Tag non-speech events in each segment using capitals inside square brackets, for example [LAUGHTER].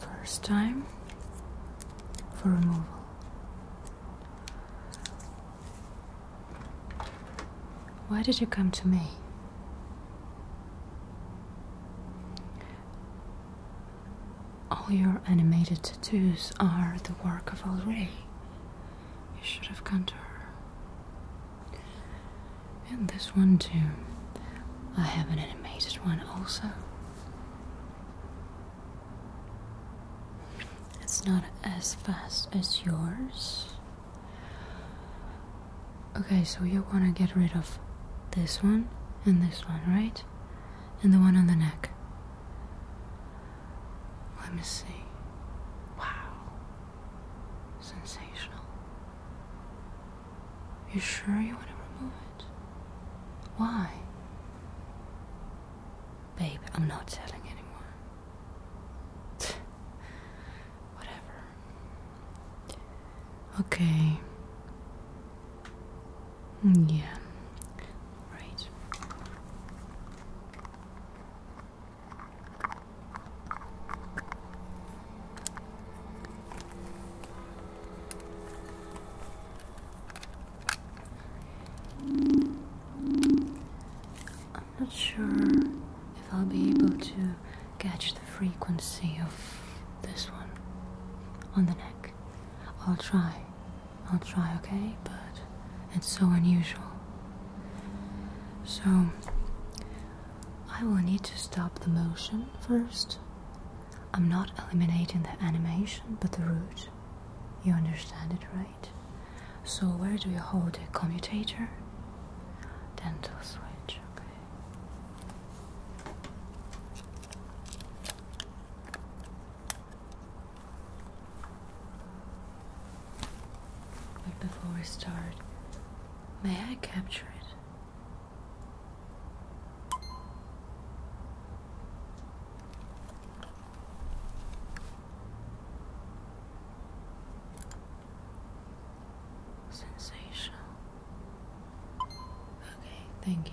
First time for removal. Why did you come to me? All your animated tattoos are the work of Al you should have gone to her. And this one too. I have an animated one also. It's not as fast as yours. Okay, so you want to get rid of this one and this one, right? And the one on the neck. Let me see. Wow. Sensational. You sure you want to remove it? Why? Babe, I'm not telling anyone. [SIGHS] Whatever. Okay. Mm, yeah. Right. I'm not sure if I'll be able to catch the frequency of this one on the neck. I'll try. I'll try, okay? But it's so unusual. So, I will need to stop the motion first. I'm not eliminating the animation but the root. You understand it, right? So, where do you hold the commutator? Then the switch, okay. But before we start, may I capture it? Sensational. Okay, thank you.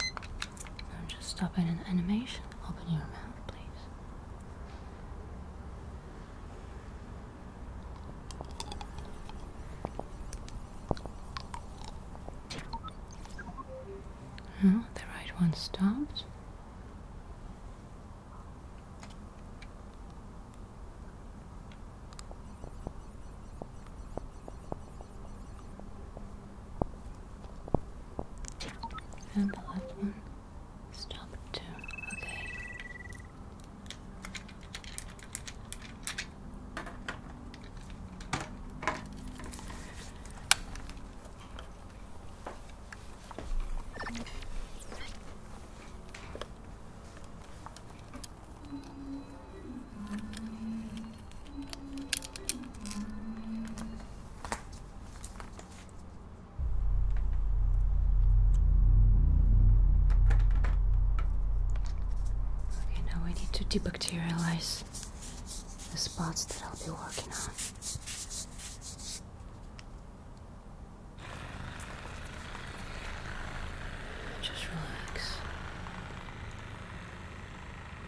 I'm just stopping an animation. Open your mouth, please. No, hmm, the right one stopped. And the left one. Stop at two. Okay. Mm. Okay, now I need to debacterialize the spots that I'll be working on. Just relax.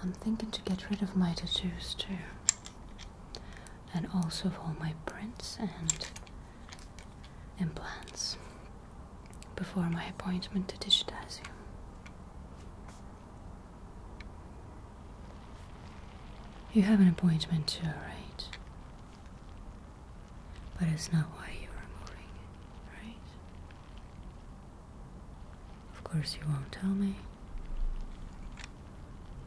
I'm thinking to get rid of my tattoos too and also of all my prints and implants before my appointment to digitize you. You have an appointment too, right? But it's not why you are moving, right? Of course, you won't tell me.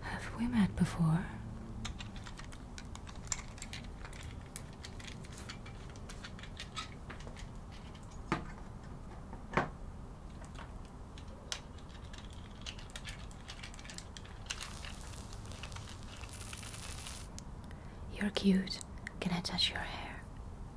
Have we met before? You're cute. Can I touch your hair?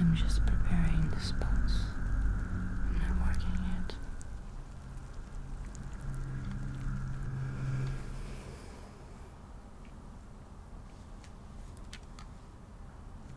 I'm just preparing the spots. I'm not working yet.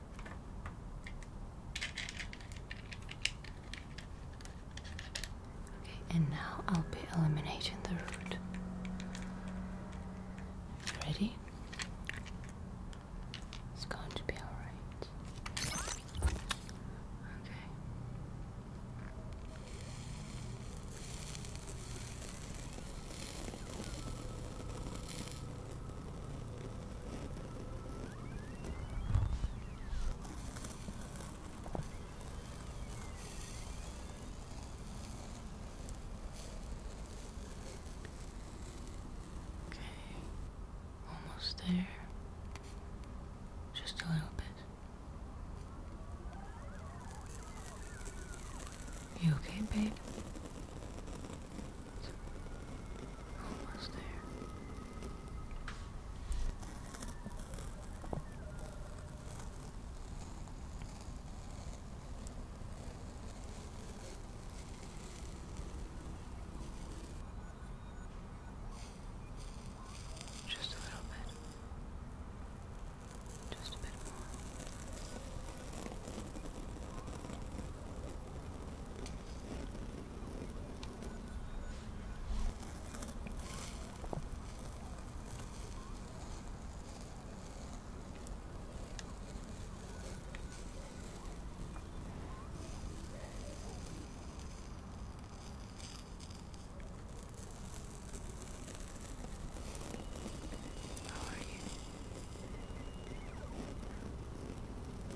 Okay, and now I'll be eliminating the root. Ready? It's going to be alright. Okay. Okay, almost there. Just a little bit. You okay, babe? Almost there. Just a little bit. Just a bit more. How are you?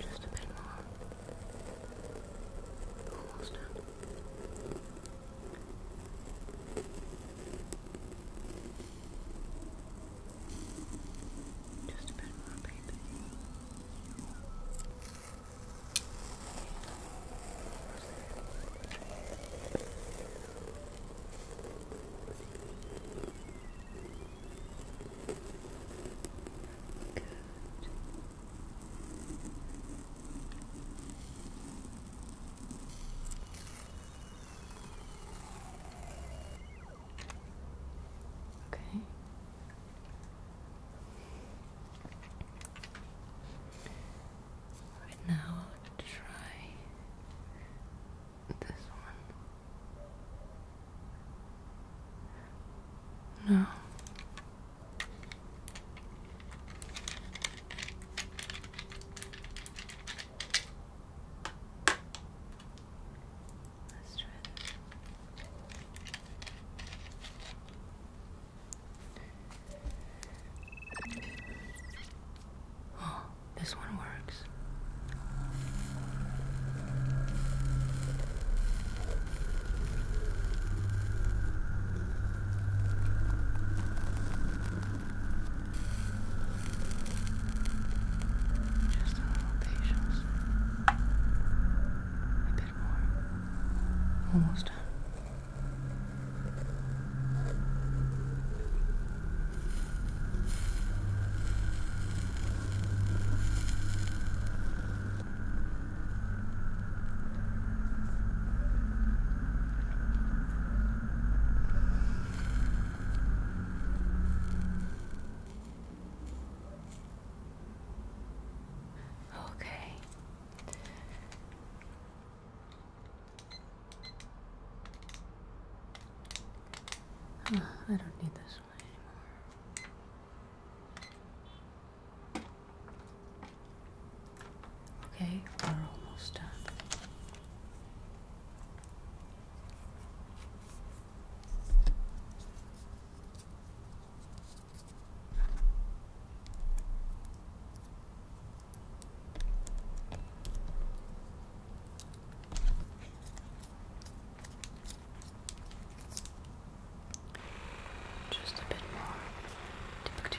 Just a bit more. Almost done. Just a bit more paper. Good. Okay. Right now, try this one. No. Let's try this. Oh, this one works. Just a little patience. A bit more. Almost done. Okay. I don't need this one anymore. Okay, we're almost done. Just a bit more to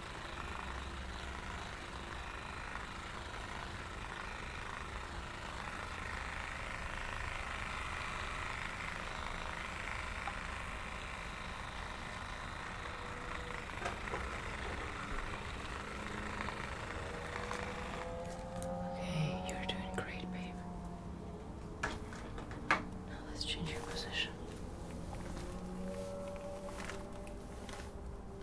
Okay, you're doing great, babe. Now let's change your position.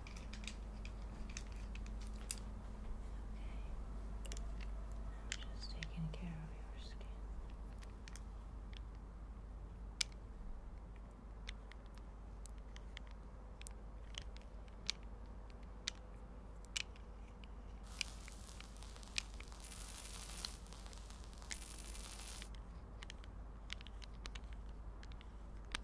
Okay. I'm just taking care of your skin.